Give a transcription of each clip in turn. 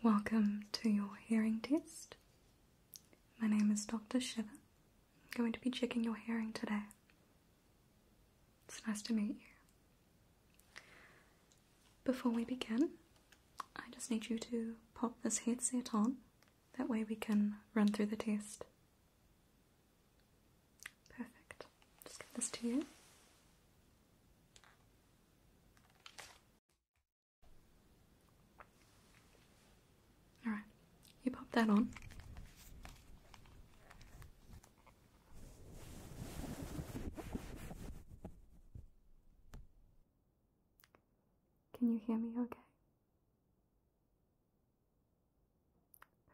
Welcome to your hearing test. My name is Dr. Shiver I'm going to be checking your hearing today. It's nice to meet you. Before we begin, I just need you to pop this headset on. That way we can run through the test. Perfect. Just give this to you. Alright, you pop that on. Can you hear me okay?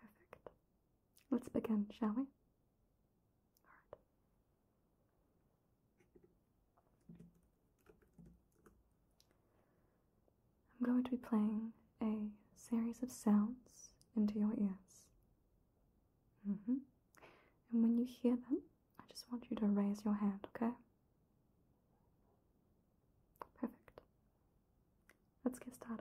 Perfect. Let's begin, shall we? I'm going to be playing a series of sounds into your ears. Mm-hmm. And when you hear them, I just want you to raise your hand, okay? Perfect. Let's get started.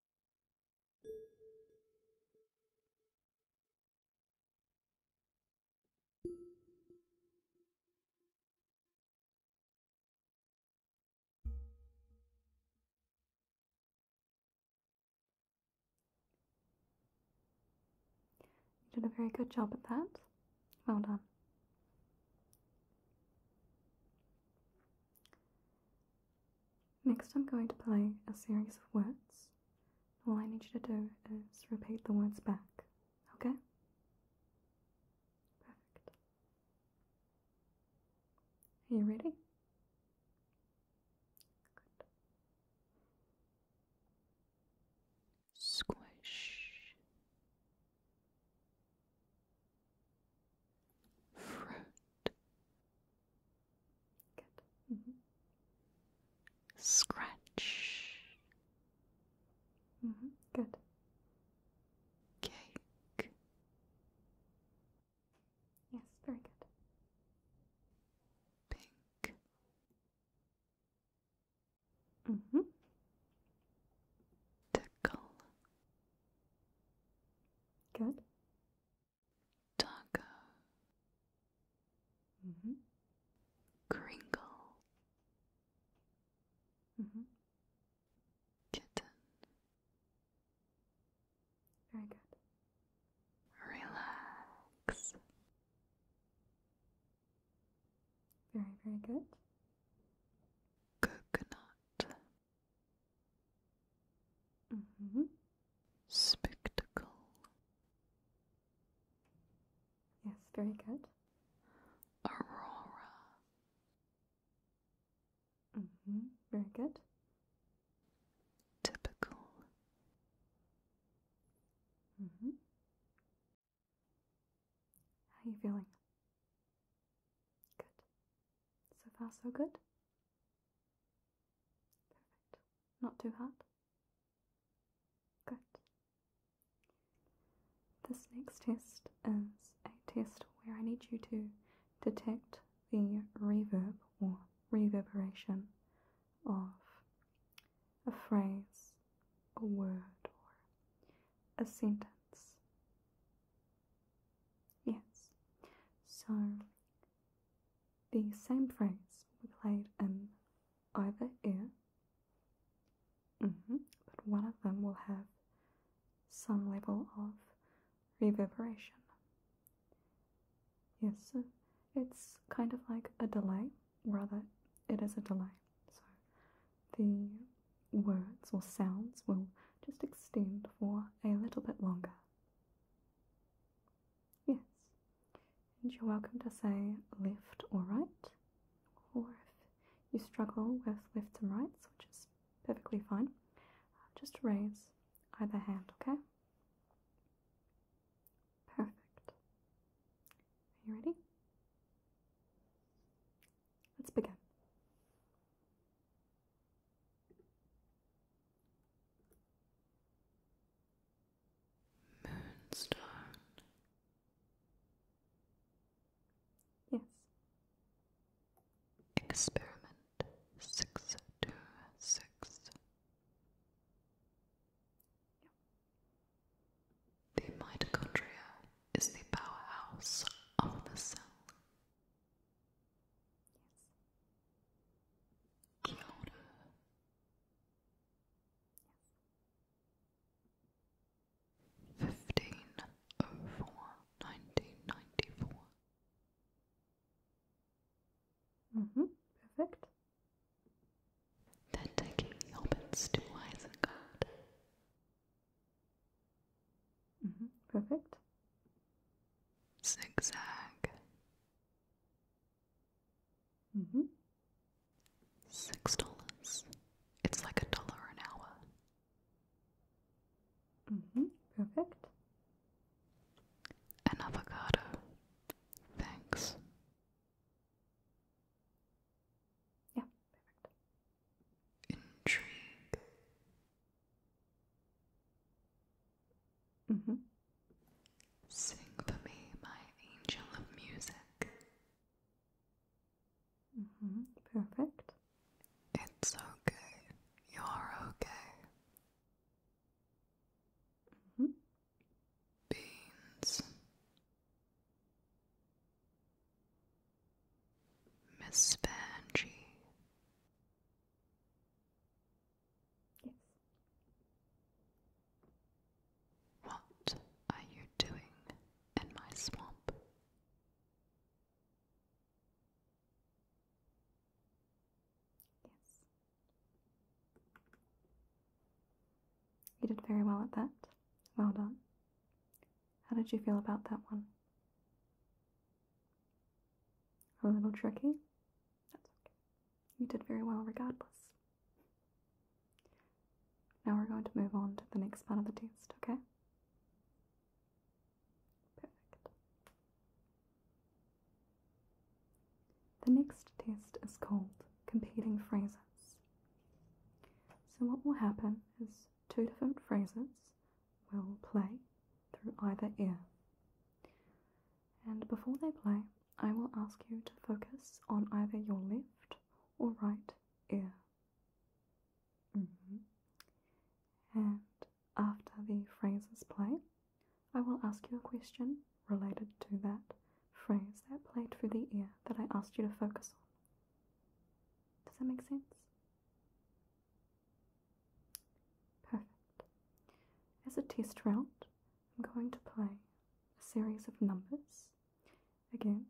You did a very good job at that. Well done. Next, I'm going to play a series of words. All I need you to do is repeat the words back, okay? Perfect. Are you ready? Squish. Fruit. Good. Scratch. Mm -hmm. Good. Mm-hmm. Mm-hmm. Yes, very good. Pink. Mm -hmm. Tickle. Good. Taco. Mm mm-hmm. mm-hmm. Kitten. Very good. Relax. Very, very good. Coconut. Mm-hmm. Spectacle. Yes, very good. Aurora. hmm. Very good. Typical. hmm. How are you feeling? Good. So far, so good. Perfect. Not too hard. Good. This next test is a test where I need you to detect the reverb or reverberation of a phrase, a word, or a sentence. Yes. So the same phrase we played in either ear, mm-hmm. but one of them will have some level of reverberation. Yes, it's kind of like a delay, rather, it is a delay. So the words or sounds will just extend for a little bit longer. Yes, and you're welcome to say left or right, or if you struggle with left and rights, which is perfectly fine, uh, just raise either hand, okay? Perfect. Are you ready? Let's begin. Moonstone. Yes. Experiment six two six. The mitochondria is the powerhouse of the cell. Yes. Fifteen oh four nineteen ninety four. Mm-hmm. Perfect. Then taking the hobbits to Isengard, Mm-hmm, perfect. Zigzag. Mm -hmm. Six dollars. It's like a dollar an hour. Mm -hmm. Perfect. An avocado. Thanks. Yeah, Intrigue. Mm-hmm. Sing for me, my angel of music. Mm-hmm. Perfect. It's okay. You're okay. Mm-hmm. Beans. Miss Vanjie. Yes. What are you doing in my swamp? Yes. You did very well at that. Well done. How did you feel about that one? A little tricky? That's okay. You did very well regardless. Now we're going to move on to the next part of the test, okay? Perfect. The next test is called competing phrases. So what will happen is two different phrases will play through either ear. And before they play, I will ask you to focus on either your left or right ear. Mm-hmm. And after the phrases play, I will ask you a question related to that phrase that played through the ear that I asked you to focus on. Does that make sense? Perfect. As a test round, I'm going to play a series of numbers. Again,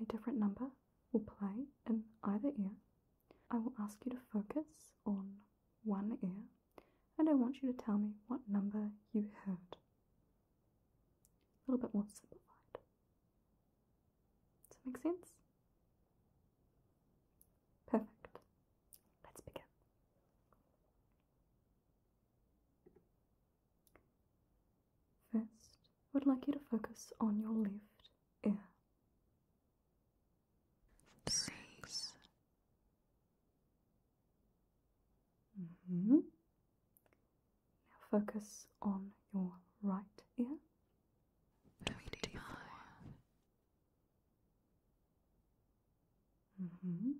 a different number will play in either ear. I will ask you to focus on one ear and I want you to tell me what number you heard. A little bit more simplified. Does that make sense? Perfect. Let's begin. First, I would like you to focus on your left ear. Six. -hmm. Now focus on your right ear. Mm-hmm.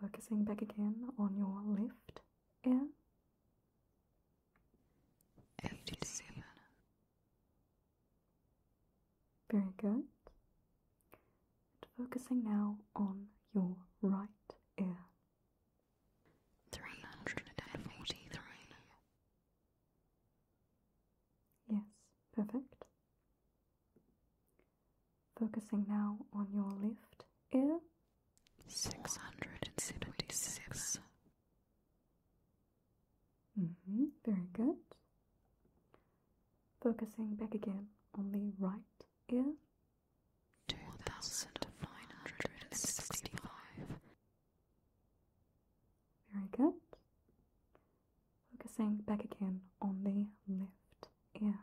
Focusing back again on your left ear. 87. Very good. And focusing now on your right ear three hundred and forty-three. Yes, perfect. Focusing now on your left ear. Six mm-hmm, very good. Focusing back again on the right ear two thousand nine hundred and sixty-five. Very good. Focusing back again on the left ear.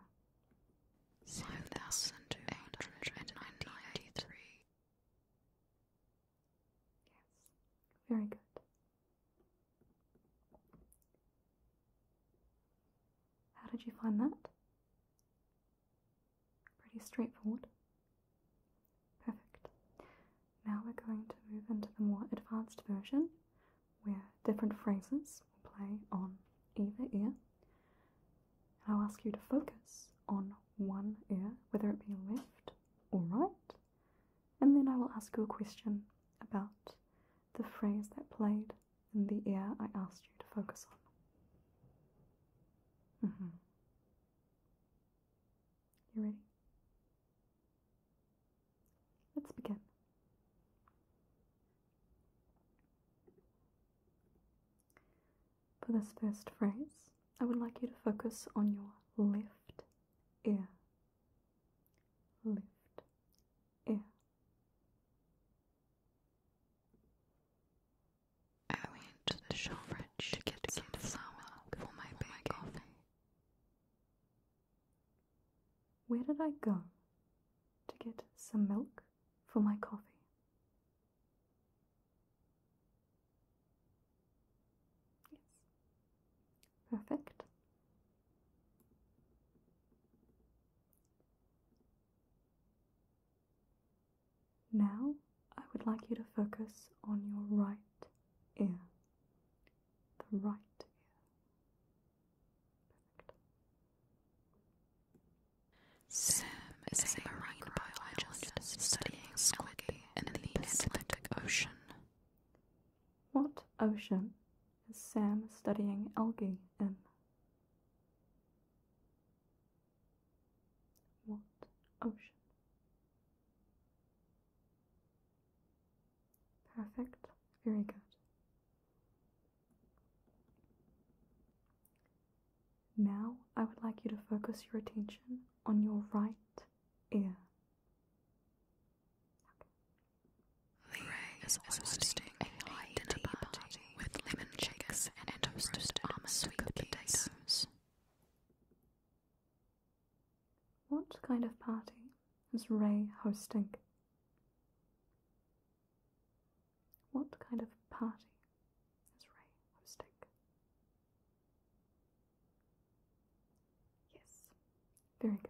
Five thousand two hundred and ninety-three. Yes, very good. How did you find that? Pretty straightforward. Perfect. Now we're going to move into the more advanced version where different phrases will play on either ear. And I'll ask you to focus on one ear, whether it be left or right, and then I will ask you a question about the phrase that played in the ear I asked you to focus on. Mm-hmm. You ready? Let's begin. For this first phrase, I would like you to focus on your left ear. Left ear. I went to the shop to get some flour for my big coffee. Where did I go to get some milk for my coffee? Yes. Perfect. Now I would like you to focus on your right ear. The right ear. Sam is, is a marine studying squid in the Atlantic Ocean. What ocean is Sam studying algae in? What ocean? Perfect, very good. Now I would like you to focus your attention on your right ear. The ring is hosting a high dinner with lemon chex and, and toasted almond sweet potatoes. potatoes. What kind of party is Ray hosting? What kind of party is Ray hosting? Yes, very good.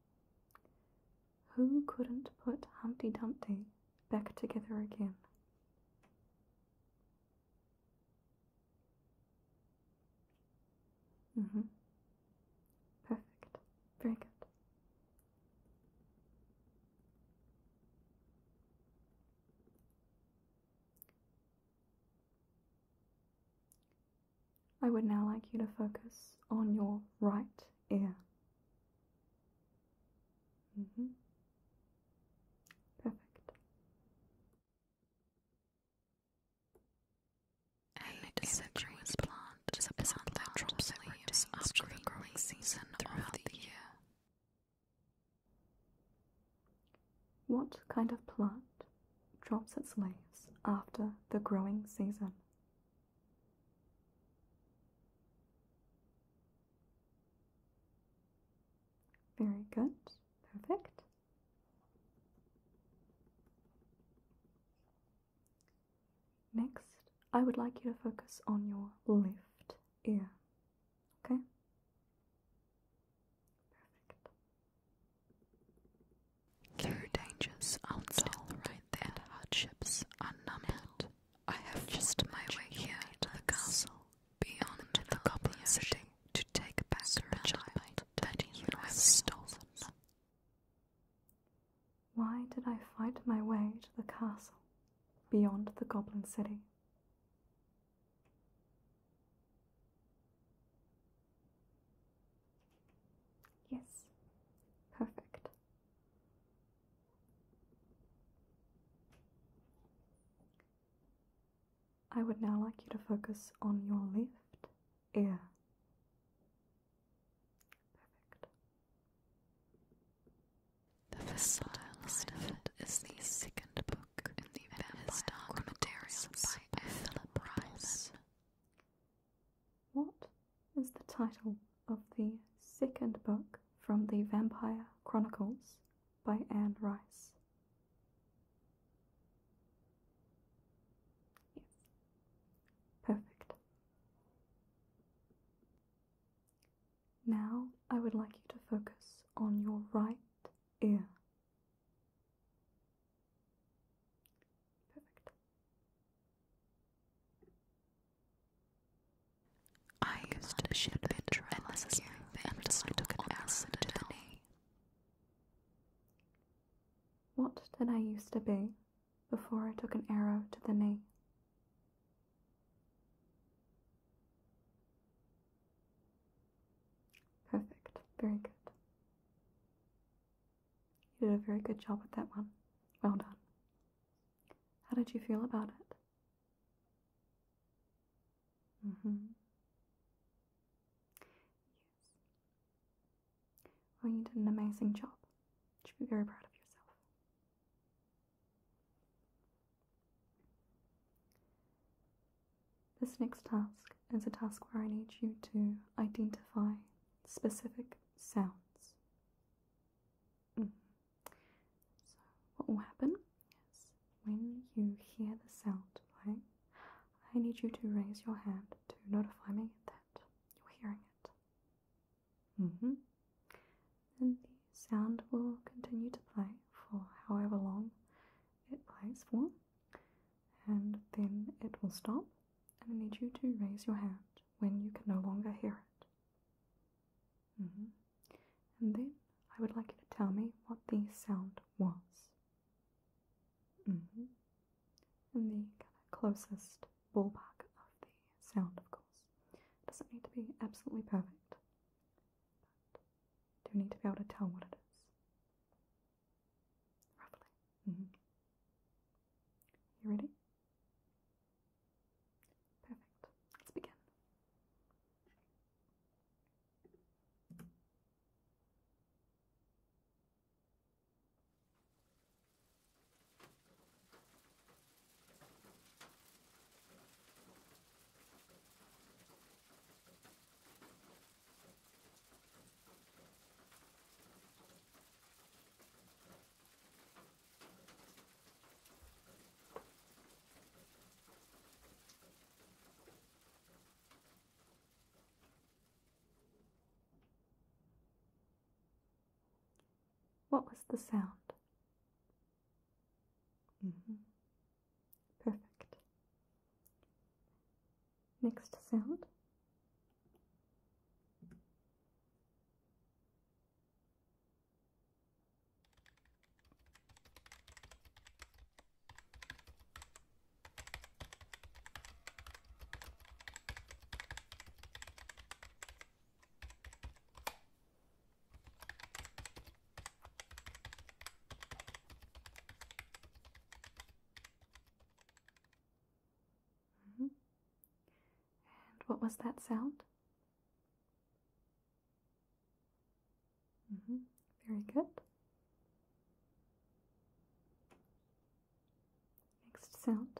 Who couldn't put Humpty Dumpty back together again? Mm-hmm. Perfect. Very good. I would now like you to focus on your right ear. Mm-hmm. Perfect. And it is a Chinese plant is a plant that drops leaves after the growing season throughout the year. What kind of plant drops its leaves after the growing season. Very good, perfect. Next, I would like you to focus on your left ear. Okay? There dangers outside right Hardships unnumbered. I have just my way here to the castle, beyond the goblin city, to take back a child that you have stolen. Why did I fight my way to the castle, beyond the goblin city? Yes, perfect. I would now like you to focus on your left ear. The Vestibular is the second book in the Vampire Dark Materials by Philip Ryman. What is the title of the second book from the Vampire Chronicles by Anne Rice? Yes, perfect. Now I would like you to focus on your right ear. I used to ship it endlessly until I took an acid to the knee. What did I used to be before I took an arrow to the knee? Perfect. Very good. You did a very good job with that one. Well done. How did you feel about it? Mm hmm. Yes. Well, you did an amazing job. You should be very proud of yourself. This next task is a task where I need you to identify specific sounds. Mm. So, what will happen is when you hear the sound playing, I need you to raise your hand to notify me that you're hearing it. Mm-hmm. And the sound will continue to play for however long it plays for and then it will stop. And I need you to raise your hand when you can no longer hear it. Mm-hmm. And then I would like you to tell me what the sound was. And mm-hmm. the closest ballpark of the sound, of course. It doesn't need to be absolutely perfect, but do need to be able to tell what it is. Roughly. Mm-hmm. You ready? Perfect. Let's begin. What was the sound? Mm-hmm. Perfect. Next sound. Mm-hmm. And what was that sound? Mm-hmm. Very good. Next sound.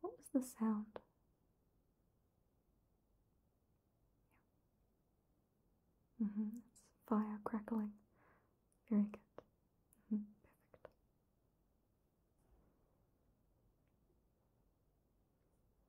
What was the sound? hmm It's fire crackling. Very good. Mm-hmm. Perfect.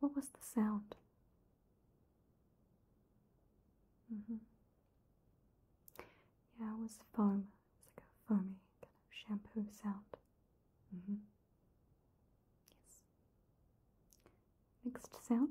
What was the sound? Mm-hmm. Yeah, it was foam. It was like a foamy kind of shampoo sound. Mm Yes. Next sound.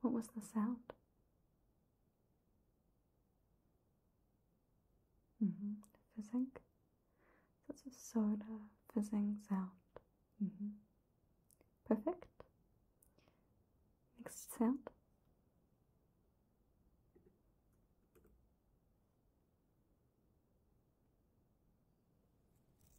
What was the sound? Mm-hmm. Fizzing. That's a soda fizzing sound. Mm-hmm. Perfect. Next sound.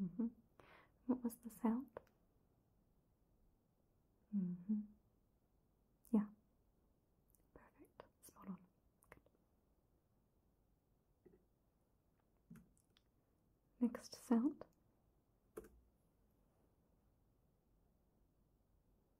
Mm -hmm. What was the sound? Mm -hmm. Yeah. Perfect. Spot on. Good. Next sound.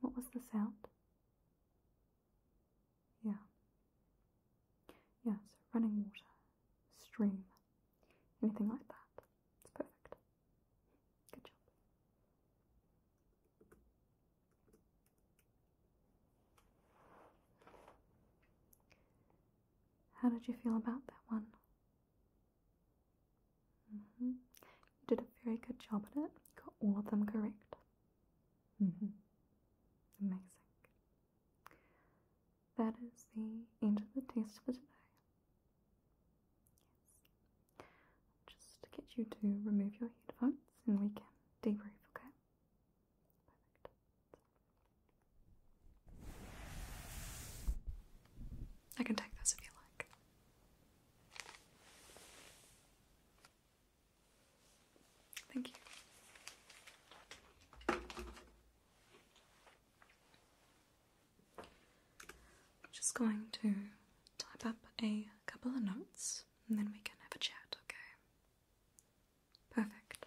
What was the sound? Yeah. Yeah, so running water, stream, anything like that. It's perfect. Good job. How did you feel about that one? Mm-hmm. You did a very good job at it. You got all of them correct. Mm -hmm. Amazing. That is the end of the test for today. Yes. Just to get you to remove your headphones and we can debrief, okay? Perfect. I can take this if you like. Thank you. I'm just going to type up a couple of notes and then we can have a chat, okay? Perfect.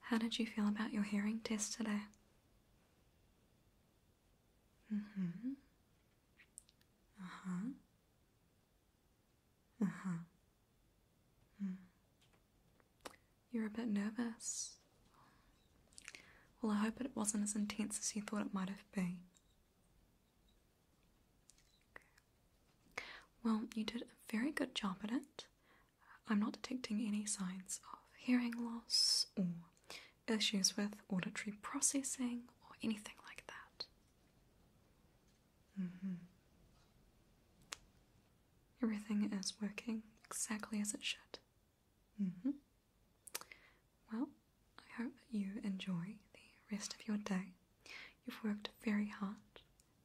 How did you feel about your hearing test today? Mm-hmm. Uh-huh. Uh-huh. Mm. You're a bit nervous. Well, I hope it wasn't as intense as you thought it might have been. Well, you did a very good job at it. I'm not detecting any signs of hearing loss or issues with auditory processing or anything like that. Mm-hmm. Everything is working exactly as it should. Mm-hmm. Well, I hope that you enjoy the rest of your day. You've worked very hard,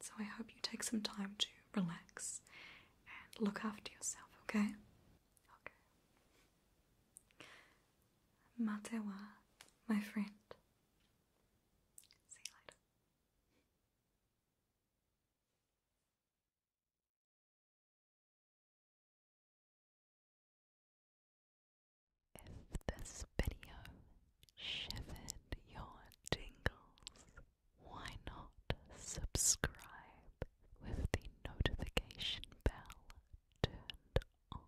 so I hope you take some time to relax and look after yourself, okay? Okay. Matewa, my friend. If this video shivered your tingles, why not subscribe with the notification bell turned on?